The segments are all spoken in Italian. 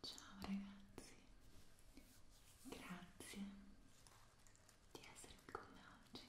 Ciao ragazzi, grazie di essere con me oggi.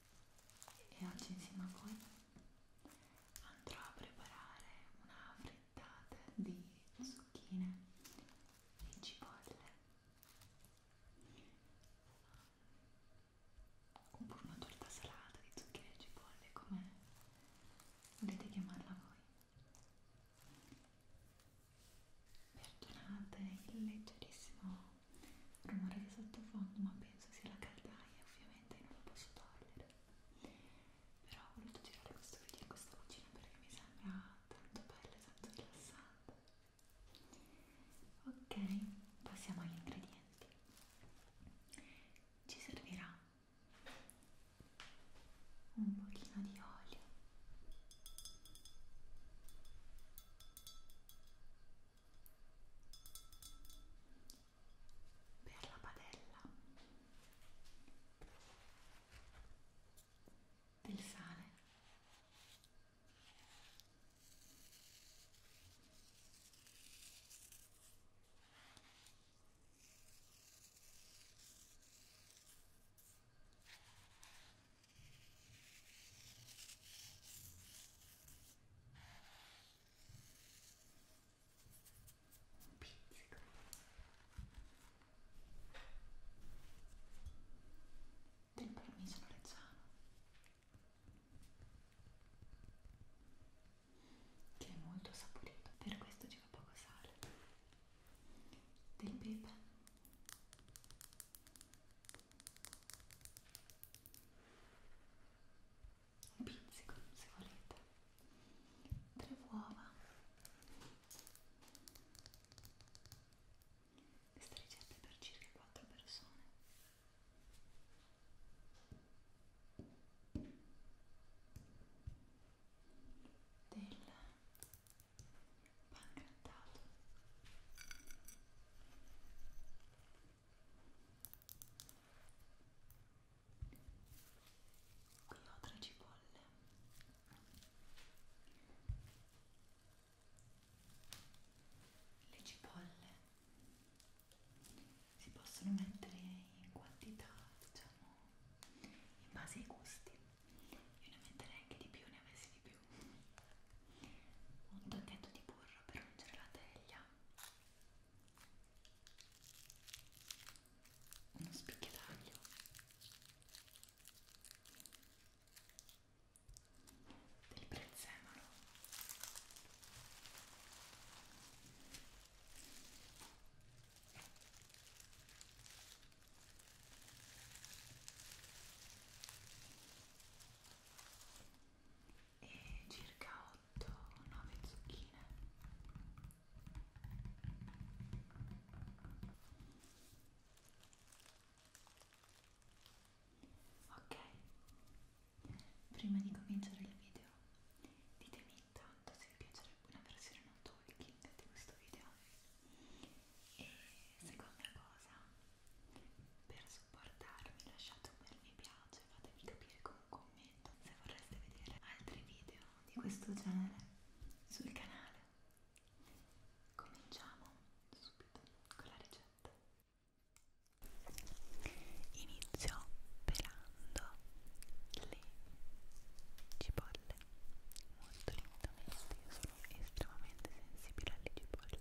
e oggi insieme a voi andrò a preparare una frittata di zucchine e cipolle oppure una torta salata di zucchine e cipolle come volete chiamarla voi perdonate il leggerissimo rumore di sottofondo ma per penso sia la caldaia, ovviamente non la posso togliere però ho voluto girare questo video in questa cucina perché mi sembra tanto bella, tanto rilassante ok, passiamo agli ingredienti ci servirà un pochino di olio per la padella del sale un pizzico del parmigiano reggiano che è molto saporito per questo ci va poco sale del pepe un pizzico se volete tre uova questa ricetta è per circa 4 persone del pan grattato qui ho tre cipolle le cipolle si possono mettere in quantità diciamo in base ai gusti io ne metterei anche di più ne avessi di più un tocchetto di burro per ungere la teglia uno spicchiataglio del prezzemolo e circa cotto 9 zucchine ok prima di cominciare il video ditemi intanto se vi piacerebbe una versione non talking di questo video e seconda cosa per supportarmi lasciate un bel mi piace fatemi capire con un commento se vorreste vedere altri video di questo genere sul canale. Cominciamo subito con la ricetta. Inizio pelando le cipolle molto lentamente, io sono estremamente sensibile alle cipolle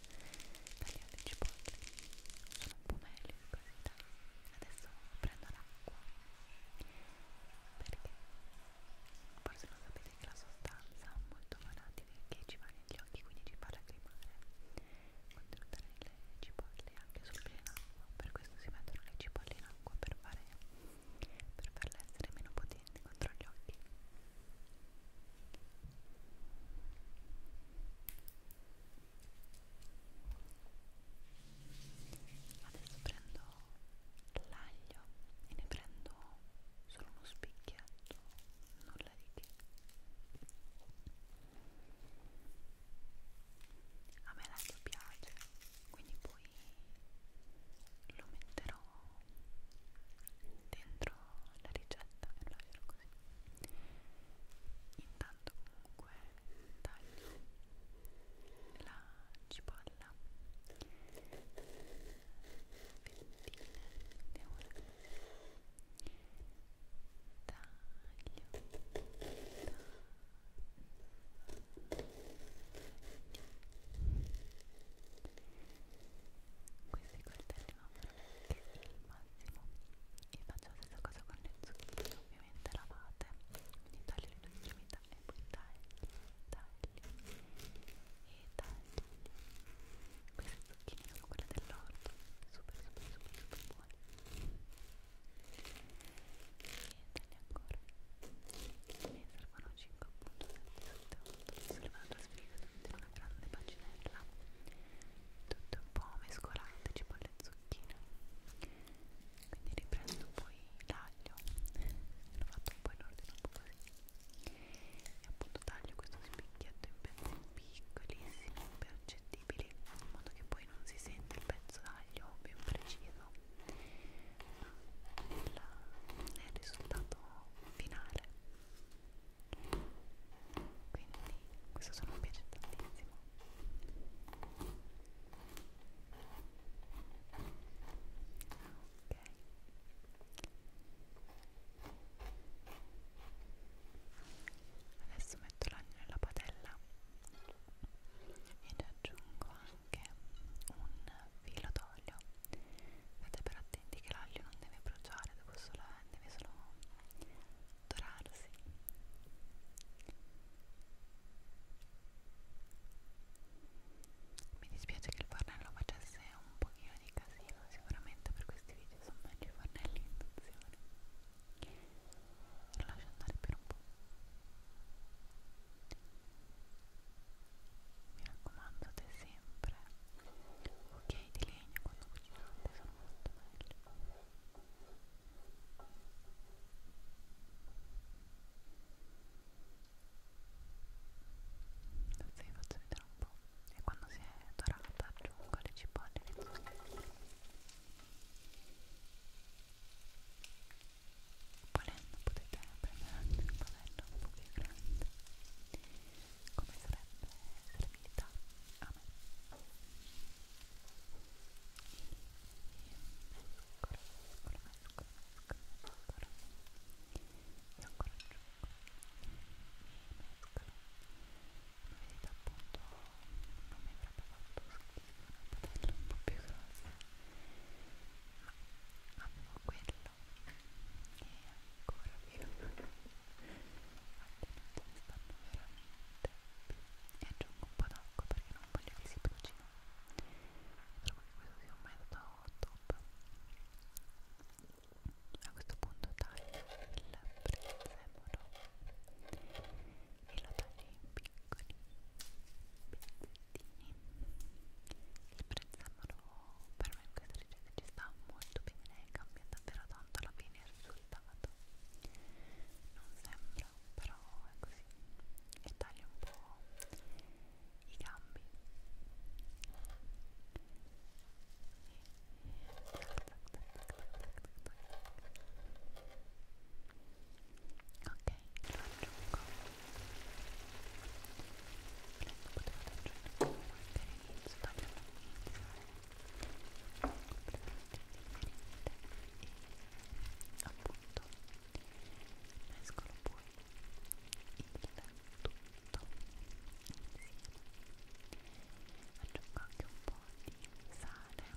tagliate cipolle sono un po' meglio di qualità adesso prendo l'acqua perché forse non sapete che la sostanza molto volatile che ci va negli occhi quindi ci fa lacrimare contenuta nelle cipolle anche solo in acqua per questo si mettono le cipolle in acqua per, fare, per farle essere meno potenti contro gli occhi adesso prendo l'aglio e ne prendo solo uno spicchietto nulla di che a me l'aglio piace quindi poi lo metterò dentro la ricetta e lo lascerò cose intanto comunque taglio la cipolla fettine vediamo la taglio questi coltelli vanno veramente il massimo e faccio la stessa cosa con le zucchine ovviamente lavate quindi togli le estremità e poi tagli tagli e tagli queste zucchine sono quelle dell'orto super super super super buone e tagli ancora mi servono 5 appunto 7 8 sono una trasferita in una grande paginella tutto un po' mescolato tipo le zucchine quindi riprendo poi l'aglio l'ho fatto un po' in ordine un po' così e appunto taglio questo spicchietto in pezzi piccolissimi impercettibili in modo che poi non si sente il pezzo d'aglio ben preciso ma il, il risultato finale quindi questo sono mi piace tantissimo ok adesso metto l'aglio nella padella ed aggiungo anche un filo d'olio state per attenti che l'aglio non deve bruciare deve, sola, deve solo addorarsi. Mi dispiace che il fornello facesse un pochino di casino, sicuramente per questi video sono meglio i fornelli in induzione. Lo lascio andare per un po'. Mi raccomando, te sempre ok di legno quando cucinate sono molto belle adesso vi faccio vedere un po' e quando si è dorata aggiungo le cipolle che sono volendo potete prendere anche un pavello un po' più grande come sarebbe serenità a me ancora, ancora, ancora, ancora, ancora e ancora giù e vedete appunto non mi avrebbe fatto schifo una padella un po' più grossa ma avevo quello e ancora io stanno veramente e aggiungo un po' d'acqua perché non voglio che si brucino trovo che questo sia un metodo top a questo punto taglio il prezzemolo e lo taglio in piccoli pezzettini il prezzemolo per me in questa ricetta ci sta molto bene cambia davvero tanto alla fine il suo risultato non sembra però è così e taglio un po' i gambi ok, lo aggiungo prendo un po' di taglio all'inizio taglio all'inizio e appunto mescolo poi il tutto insieme aggiungo anche un po' di sale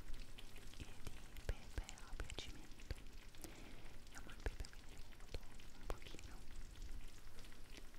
e di pepe a piacimento amo il pepe quindi un pochino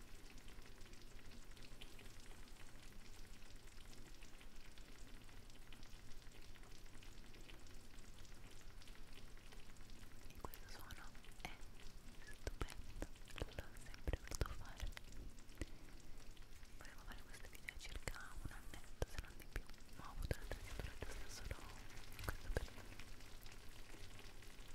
questo suono è stupendo, l'ho sempre voluto fare volevo fare questo video circa un annetto se non di più ma ho avuto la tessitura giusta solo in questo periodo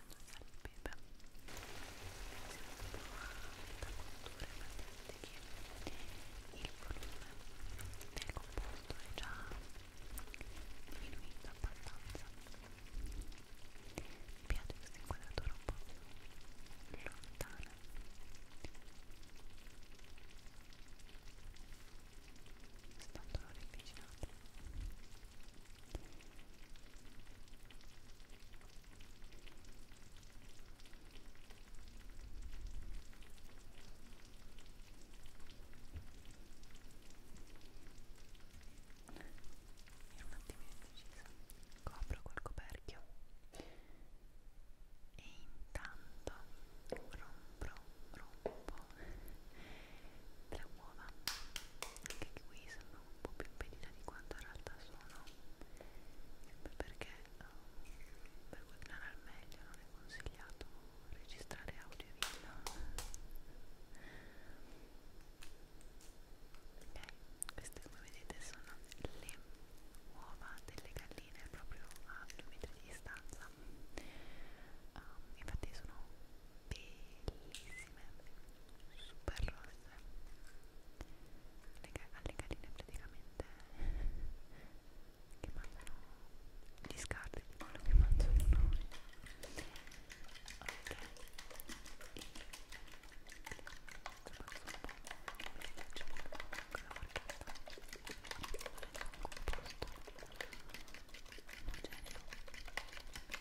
mangiando sale e pepe siamo proprio da cultura presente che il volume del composto è già diminuito abbastanza mi piace questa inquadratura un po' lontana Stanno riavvicinando ero un attimo indecisa copro col coperchio e intanto rompo rompo le uova anche qui sono un po' più impedita di quanto in realtà sono sempre perché um, per guadagnare al meglio non è consigliato registrare audio e video ok queste come vedete sono le uova delle galline proprio a due metri di distanza um, infatti sono bellissime rossissime super rosse alle galline praticamente che mangiano gli scarti di quello che mangiano noi ok e insomma sono un po' mi piace quella marchetta è un composto omogeneo e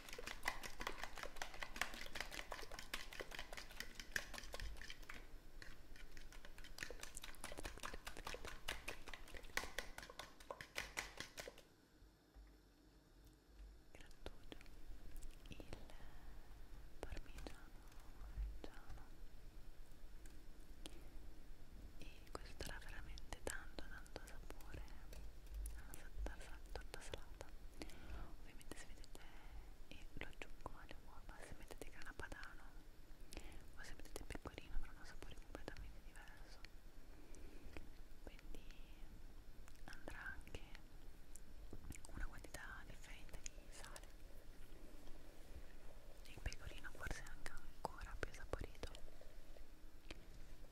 questo dà veramente tanto tanto sapore una torta salata ovviamente se mettete e lo aggiungo alle uova se mettete grana padano o se mettete pecorino avrà un sapore completamente diverso quindi andrà anche una quantità differente di sale il pecorino forse è anche ancora più saporito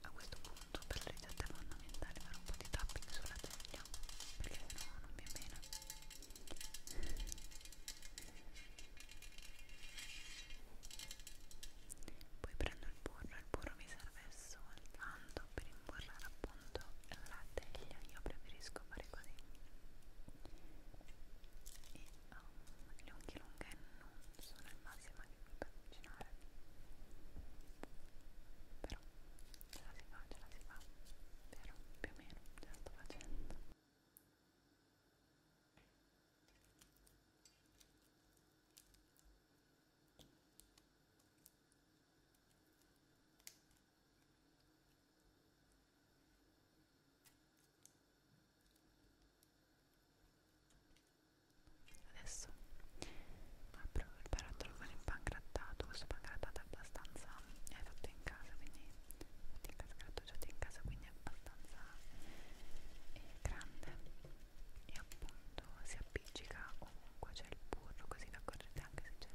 A questo punto per legge devo andare fare un po' di tapping sulla teglia perché sennò no, non mi è bene poi prendo il burro, il burro mi serve soltanto per imburrare appunto la teglia, io preferisco fare così e um, le unghie lunghe non sono il massimo che mi per cucinare però ce la si fa, ce la si fa vero? più o meno ce la sto facendo Ecco Adesso apro il barattolo con il pangrattato, questo pangrattato è abbastanza è fatto in casa, quindi fatto in casa, grattugiato in casa, quindi è abbastanza è eh, grande e appunto si appiccica ovunque c'è il burro, così vi accorgete anche se c'è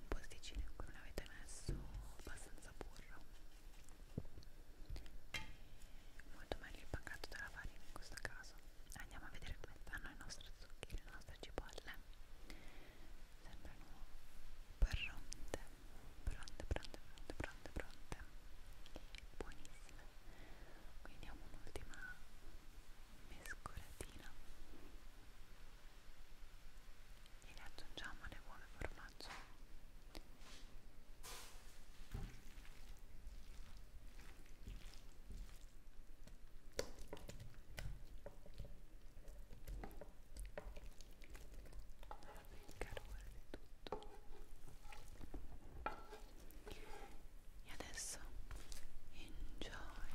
un posticino in cui non avete messo abbastanza burro molto meglio il pacchetto della farina in questo caso andiamo a vedere come stanno le nostre zucchine le nostre cipolle sembrano pronte pronte pronte pronte pronte pronte buonissime quindi diamo un'ultima mescolatina e ne aggiungiamo le uova e formaggio il calore di tutto e adesso enjoy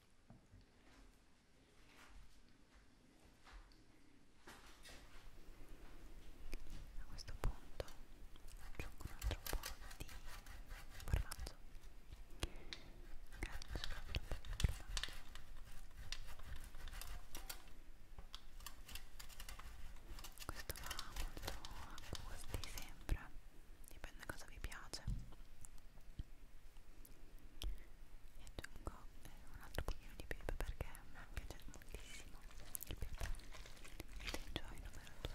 A questo punto aggiungo un altro po' di formaggio. Questo va molto a gusti, sembra dipende cosa vi piace e aggiungo eh, un altro pochino di pepe perché mi piace moltissimo il pepe ed enjoy numero 2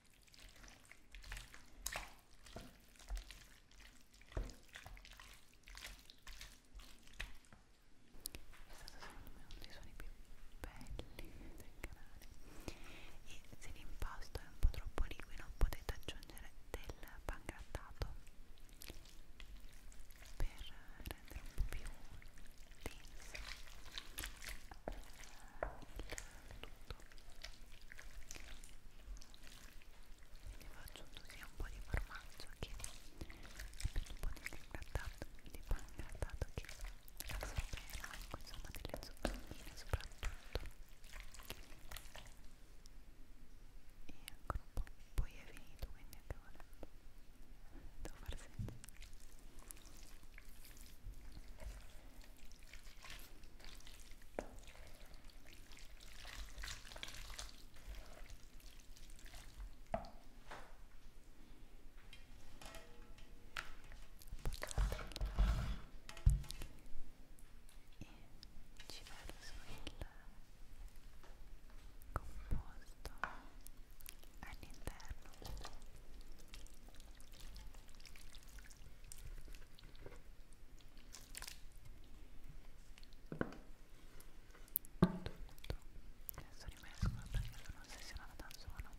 secondo me uno dei suoni più belli del canale e se l'impasto è un po' troppo liquido potete aggiungere del pangrattato per rendere un po' più denso il tutto ne ho aggiunto sia un po' di formaggio che un po' di grattato di pan grattato che la sorbera ecco insomma delle zucchine soprattutto e ancora un po' poi è finito quindi anche ora devo far senza ci vado su il composto all'interno adesso rimescola perché sono ossessionata da suono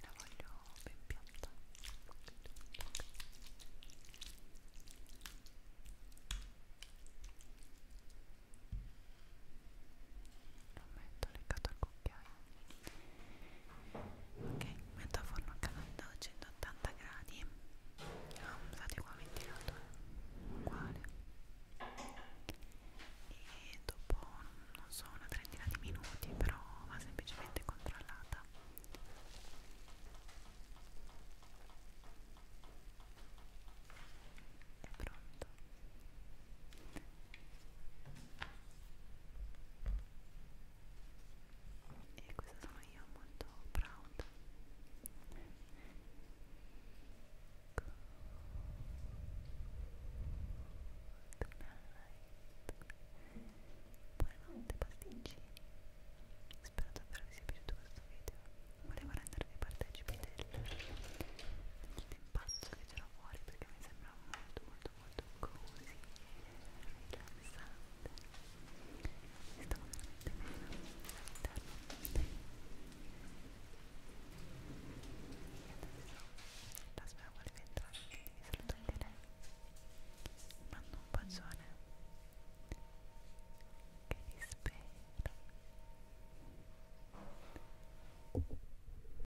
la voglio ben piatta lo metto legato al cucchiaio ok metto a forno a caldo a 180 gradi ho ah, usato qua ventilatore uguale e dopo non so una trentina di minuti però va semplicemente controllata è pronto e questa sono io molto proud buonanotte pasticcini spero davvero vi sia piaciuto questo video volevo rendervi partecipi del, dell'impazzo che c'era fuori perché mi sembra molto molto molto molto così e rilassante mi sto veramente bene all'interno e adesso la volete entrare quindi vi saluto anche lei mando un bacione che vi spero